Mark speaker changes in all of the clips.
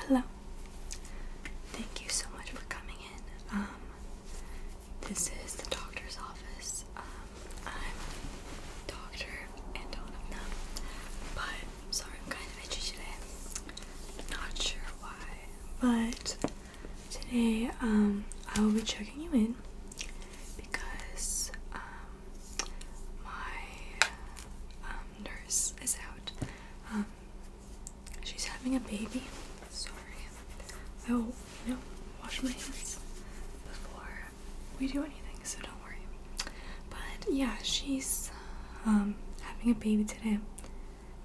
Speaker 1: Hello. Thank you so much for coming in. Um, this is the doctor's office. Um, I'm Dr. Antonovna, but I'm sorry I'm kind of itchy today. Not sure why, but today um, I will be checking you in because my nurse is out. Um, she's having a baby. Sorry. Oh, you know, wash my hands before we do anything, so don't worry. But yeah, she's um, having a baby today.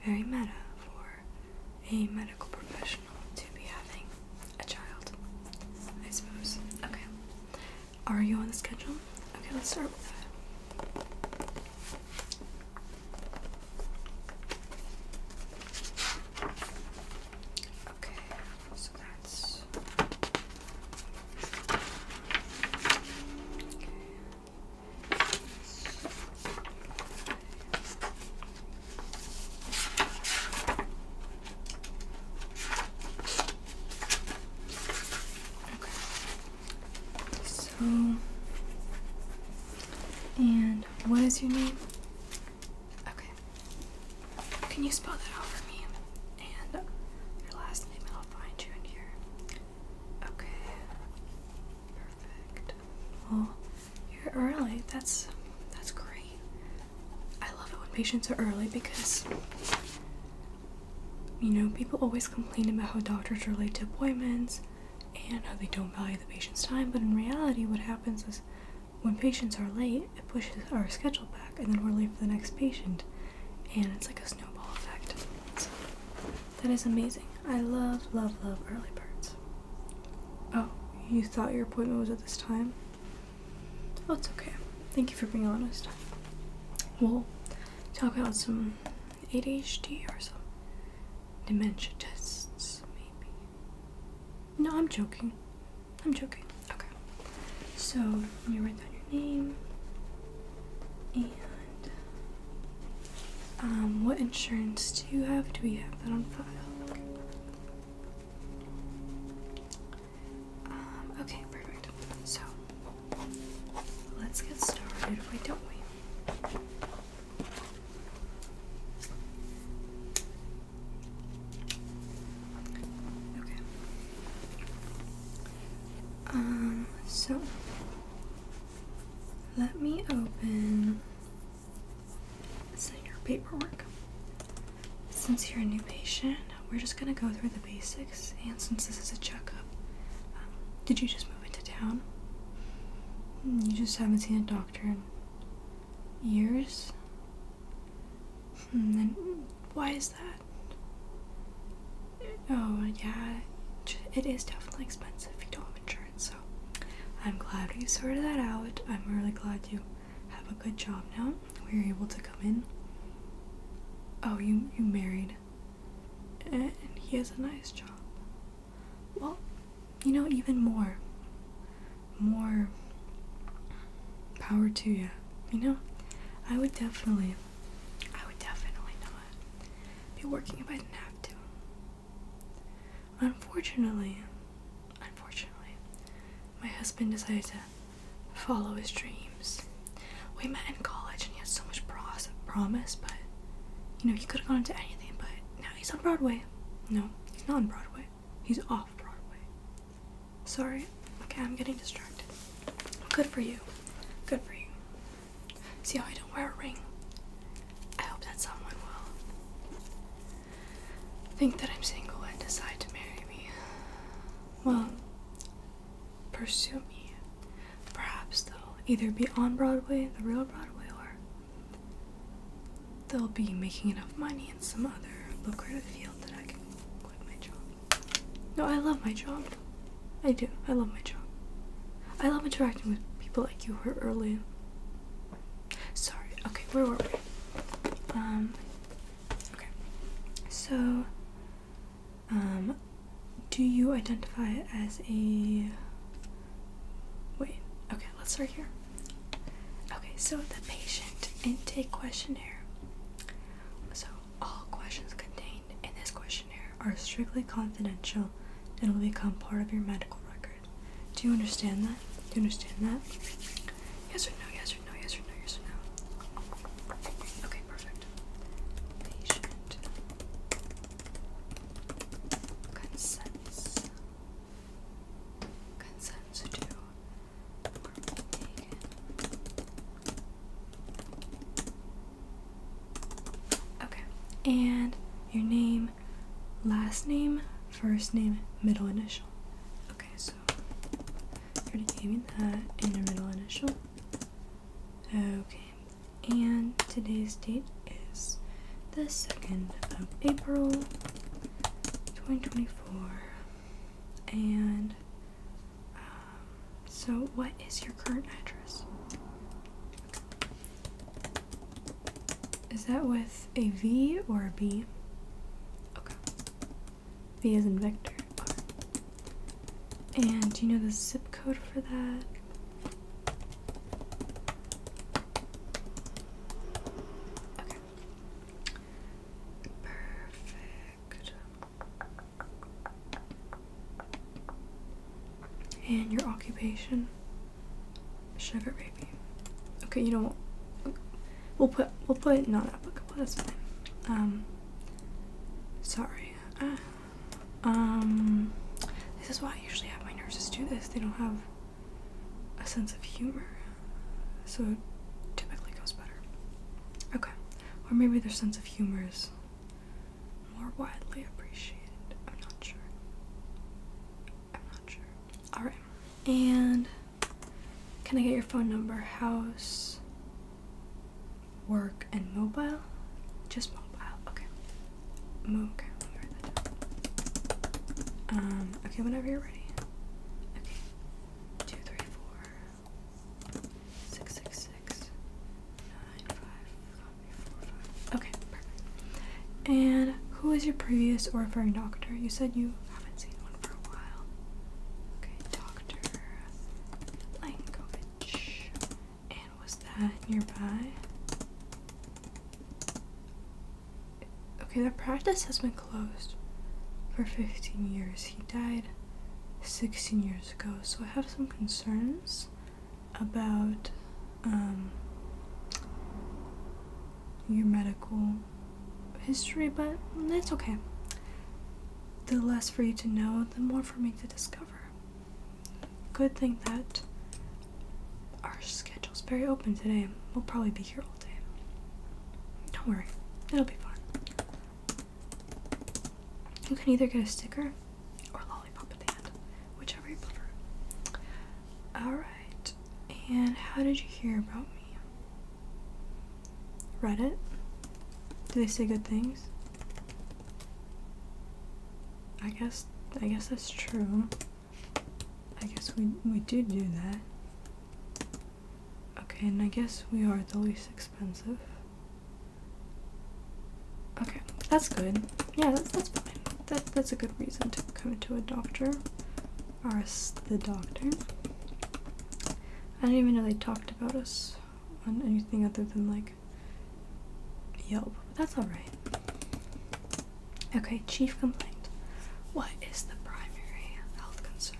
Speaker 1: Very meta for a medical professional to be having a child, I suppose. Okay. Are you on the schedule? Okay, let's start with that. Okay, so that's so, and what is your name? Okay. Can you spell that out for me? And your last name, and I'll find you in here. Okay. Perfect. Well, you're early. That's that's great. I love it when patients are early because you know, people always complain about how doctors relate to appointments and how they don't value the patient's time, but in reality, what happens is when patients are late, it pushes our schedule back, and then we're late for the next patient, and it's like a snowball effect. that is amazing. I love, love, love early birds. Oh, you thought your appointment was at this time? Oh, it's okay. Thank you for being honest. Well, talk about some ADHD or some dementia tests, maybe. No, I'm joking. I'm joking. Okay. So, let me write down your name. And um, what insurance do you have? Do we have that on file? Um, okay, perfect. So let's get started, wait, don't we? Okay. Um, so let me open sign your paperwork. Since you're a new patient, uh, we're just gonna go through the basics. And since this is a checkup, um, did you just move into town? Hmm, you just haven't seen a doctor in years? Hmm, then why is that? Oh, yeah, it is definitely expensive if you don't have insurance, so I'm glad you sorted that out. I'm really glad you have a good job now. We were able to come in. Oh, you you married, and he has a nice job. Well, you know, even more. More power to you. You know, I would definitely, I would definitely not be working if I didn't have to. Unfortunately, unfortunately, my husband decided to follow his dreams. We met in college and he had so much pros promise, but you know, he could have gone into anything, but now he's on Broadway. No, he's not on Broadway. He's off Broadway. Sorry. Okay, I'm getting distracted. Good for you. Good for you. See how I don't wear a ring? I hope that someone will think that I'm single and decide to marry me. Well, pursue me. Perhaps they'll either be on Broadway, the real Broadway, or they'll be making enough money in some other lucrative field that I can quit my job. No, I love my job. I do. I love my job. I love interacting with people like you who are early. Sorry. Okay, where were we? Um. Okay. So, um, do you identify as a. Wait, okay, let's start here. Okay, so the patient intake questionnaire. So, all questions contained in this questionnaire are strictly confidential and will become part of your medical record. Do you understand that? Do you understand that? Yes or no, yes or no, yes or no, yes or no. Okay, perfect. Patient. Consents. Consents to Okay, and your name, last name, first name, middle initial. Okay, so already gave me that in the middle initial. Okay, and today's date is the 2nd of April 2024. And um, so, what is your current address? Is that with a V or a B? Okay. V is in vector And do you know the zip code for that? Okay. Perfect. And your occupation? Sugar baby. Okay, you know We'll put we'll put not applicable. That's fine. Um, sorry. Uh, um, this is why I usually have my nurses do this. They don't have a sense of humor, so it typically goes better. Okay, or maybe their sense of humor is more widely appreciated. I'm not sure. I'm not sure. All right, and. Can I get your phone number? House, work, and mobile? Just mobile. Okay. okay, Um, okay, whenever you're ready. Okay. Two, three, four, six, six, six, nine, five, five, four, five. Okay, perfect. And who is your previous or referring doctor? You said you haven't seen one for a while. Okay, Dr. Lankovich. And was that nearby? Okay, the practice has been closed for 15 years. He died 16 years ago, so I have some concerns about um, your medical history, but that's okay. The less for you to know, the more for me to discover. Good thing that our schedule's very open today. We'll probably be here all day. Don't worry, it'll be fun. You can either get a sticker or a lollipop at the end, whichever you prefer. Alright, and how did you hear about me? Reddit? Do they say good things? I guess I guess that's true. I guess we we did do that. Okay, and I guess we are the least expensive. Okay, that's good. Yeah, that's, that's fine. That, that's a good reason to come to a doctor. Ours, the doctor. I do not even know they talked about us on anything other than like Yelp. That's alright. Okay, chief complaint. What is the primary health concern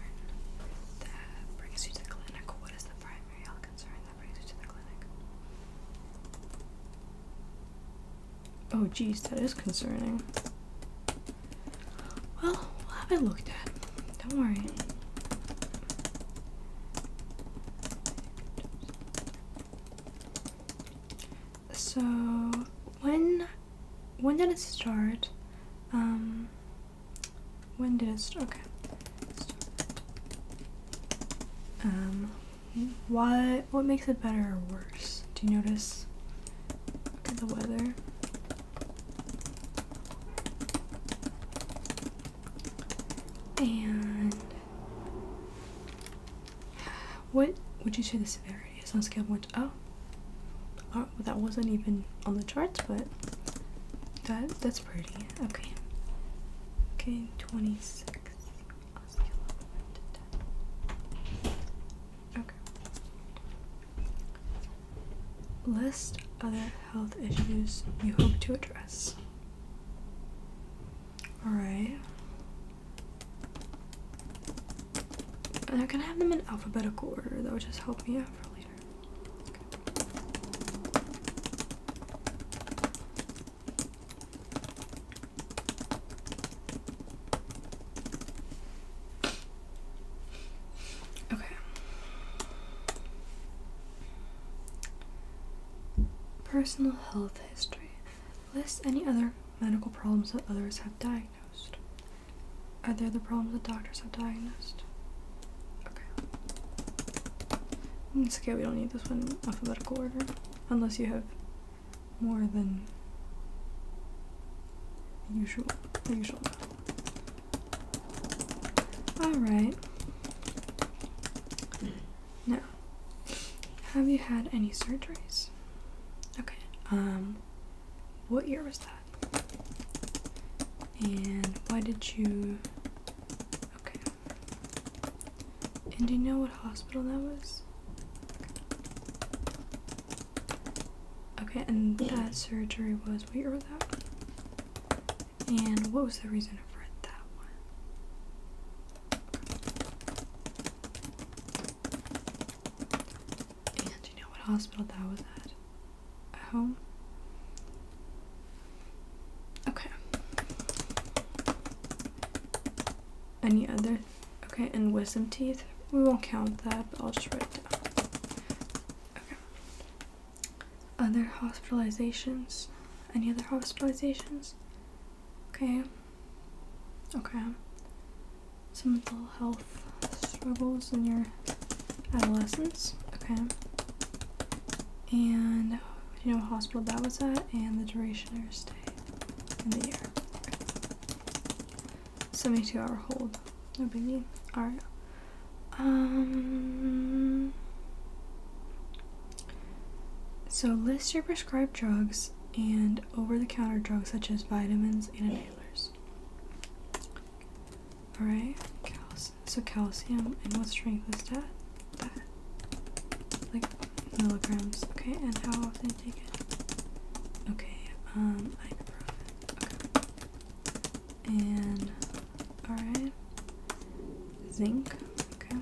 Speaker 1: that brings you to the clinic? What is the primary health concern that brings you to the clinic? Oh, geez, that is concerning. Well, we'll have it looked at. Don't worry. So when when did it start? Um when did it start? Okay. Um what what makes it better or worse? Do you notice? the weather. And what would you say the severity is on scale 1 oh. oh, that wasn't even on the charts, but that that's pretty. Okay. Okay, 26 Okay. List other health issues you hope to address. Alright. I'm gonna have them in alphabetical order. That would just help me out for later. Okay. Personal health history. List any other medical problems that others have diagnosed. Are there the problems that doctors have diagnosed? Okay. It's okay, we don't need this one in alphabetical order. Unless you have more than usual. usual. Alright. Now, have you had any surgeries? Okay. Um, what year was that? And why did you. Okay. And do you know what hospital that was? Okay, and that surgery was what was that one? And what was the reason for that one? And you know what hospital that was At home? Okay. Any other Okay, and wisdom teeth. We won't count that, I'll just write down. Okay. Other hospitalizations. Any other hospitalizations? Okay. Okay. Some mental health struggles in your adolescence. Okay. And you know hospital that was at and the duration of your stay in the year. 72 hour hold. No biggie. Alright. Um. So list your prescribed drugs and over the counter drugs such as vitamins and inhalers. Alright. So calcium and what strength is that? That. Like milligrams. Okay, and how often take it. Okay, um, ibuprofen. Okay. And, alright. Zinc. Okay.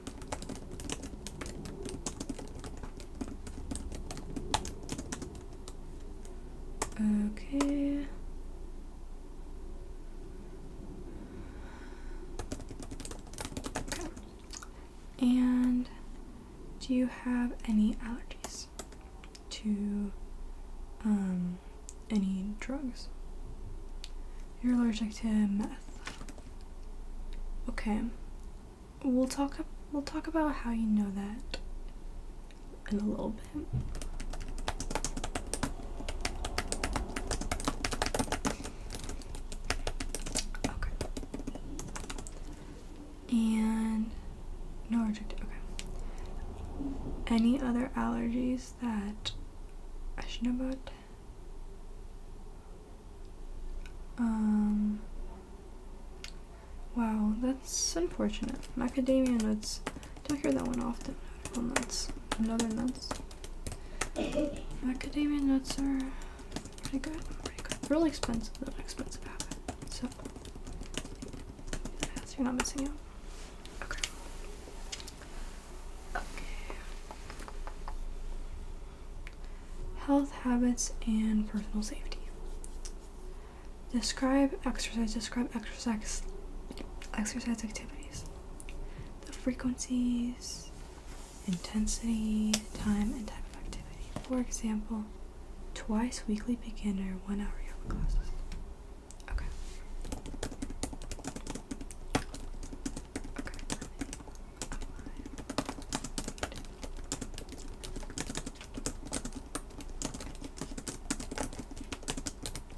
Speaker 1: Okay. Okay. And do you have any allergies to um, any drugs? You're allergic to meth. Okay. We'll talk we'll talk about how you know that in a little bit. Okay and no allergic. Okay. Any other allergies that I should know about? Um. Wow, that's unfortunate. Macadamia nuts. Don't hear that one often. Apple nuts. Another nuts. Macadamia nuts are pretty good, pretty good. Really expensive, really expensive habit. So, yeah, you're not missing out. Okay. Okay. Health habits and personal safety. Describe exercise. Describe exercise. Exercise activities. The frequencies intensity, time, and type of activity. For example, twice weekly beginner one hour yoga classes. Okay.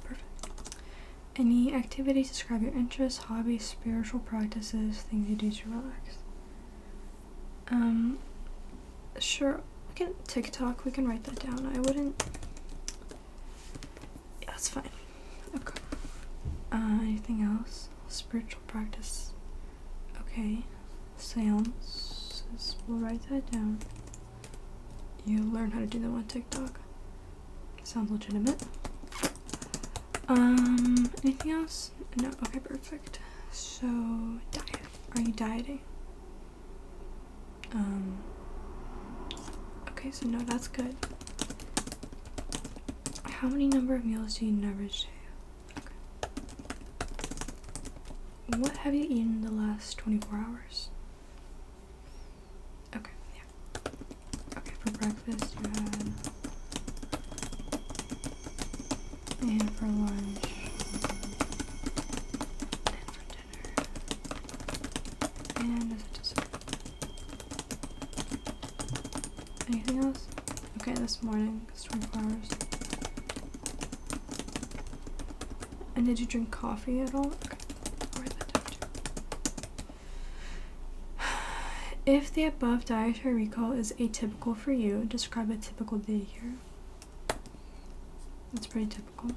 Speaker 1: Perfect. Any activities describe your interests, hobbies, spiritual practices, things you do to relax. Um, sure, we can TikTok, we can write that down. I wouldn't, yeah, that's fine. Okay. Uh, anything else? Spiritual practice. Okay. Seances. We'll write that down. You learn how to do them on TikTok. Sounds legitimate. Um, anything else? No, okay, perfect. So, diet. Are you dieting? Um, okay, so no, that's good. How many number of meals do you need average Okay. What have you eaten the last 24 hours? Okay, yeah. Okay, for breakfast you had and for lunch. And for dinner. And Anything else? Okay, this morning, stormflowers. And did you drink coffee at all? If the above diet Cashier recall is atypical for you. Describe a typical day here. That's pretty typical.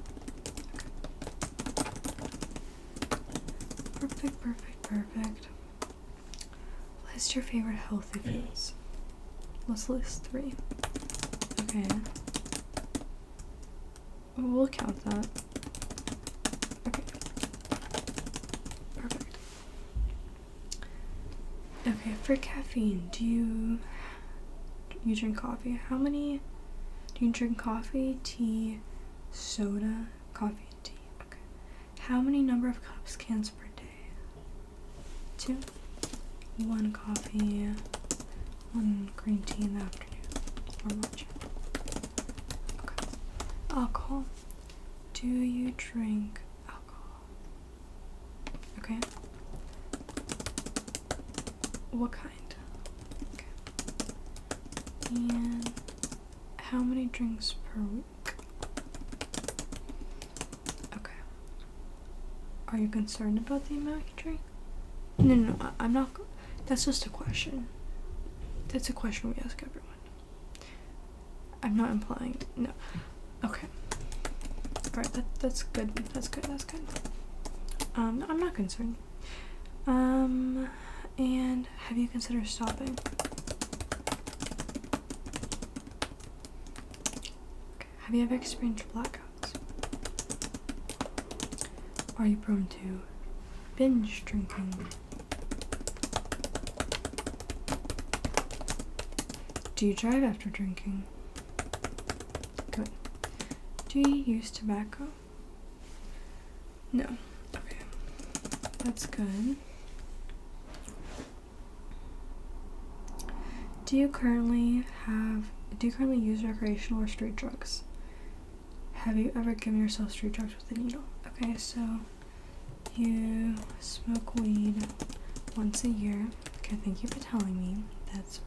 Speaker 1: Okay. Perfect, perfect, perfect. List your favorite healthy foods. Let's list three. Okay. We'll count that. Okay. Perfect. Okay, for caffeine, do you you drink coffee? How many do you drink coffee, tea, soda, coffee and tea? Okay. How many number of cups cans per day? Two. One coffee, one green tea in the afternoon or lunch. Okay. Alcohol. Do you drink alcohol. Okay? What kind? Okay. And how many drinks per week? Okay. Are you concerned about the amount you drink? No, no, I'm not. That's just a question. That's a question we ask everyone. I'm not implying no. Okay. Alright, that, that's good. That's good. That's good. Um, I'm not concerned. Um, and have you considered stopping? Have you ever experienced blackouts? Are you prone to binge drinking? Do you drive after drinking? Good. Do you use tobacco? No. Okay. That's good. Do you currently have do you currently use recreational or street drugs? Have you ever given yourself street drugs with a needle? Okay, so you smoke weed once a year. Okay, thank you for telling me. That's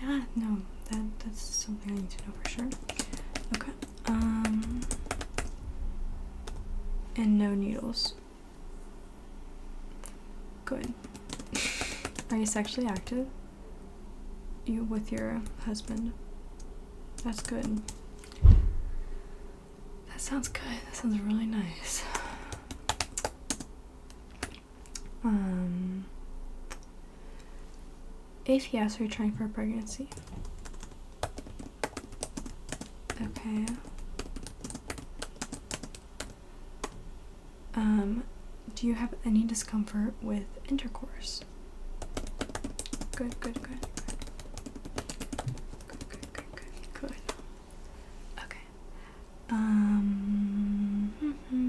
Speaker 1: yeah, no, that that's something I need to know for sure. Okay. Um and no needles. Good. Are you sexually active? You with your husband? That's good. That sounds good. That sounds really nice. Um, if yes, are you trying for a pregnancy? Okay. Um, do you have any discomfort with intercourse? Good, good, good, good. Good, good, good, good, good. Okay. Um, mm -hmm.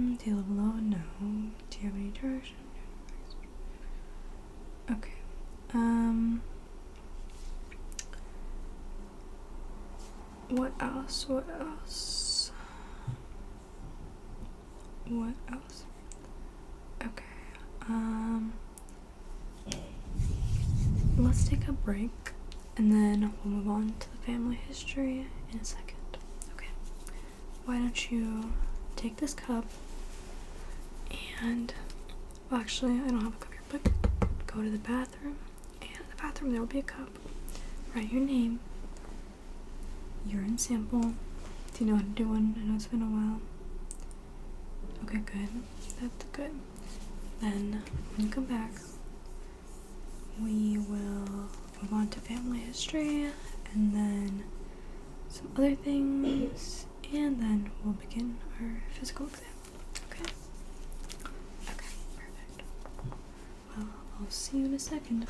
Speaker 1: No. Do you have any direction? Okay. Um, what else? What else? What else? Okay. Um, Let's take a break and then we'll move on to the family history in a second. Okay. Why don't you take this cup and actually, I don't have a cup here, but go to the bathroom. And in the bathroom, there will be a cup. Write your name, urine sample. Do you know what I'm doing? I know it's been a while. Okay, good. That's good. Then when come back, we will move on to family history and then some other things, and then we'll begin our physical exam. Okay? Okay, perfect. Well, I'll see you in a second.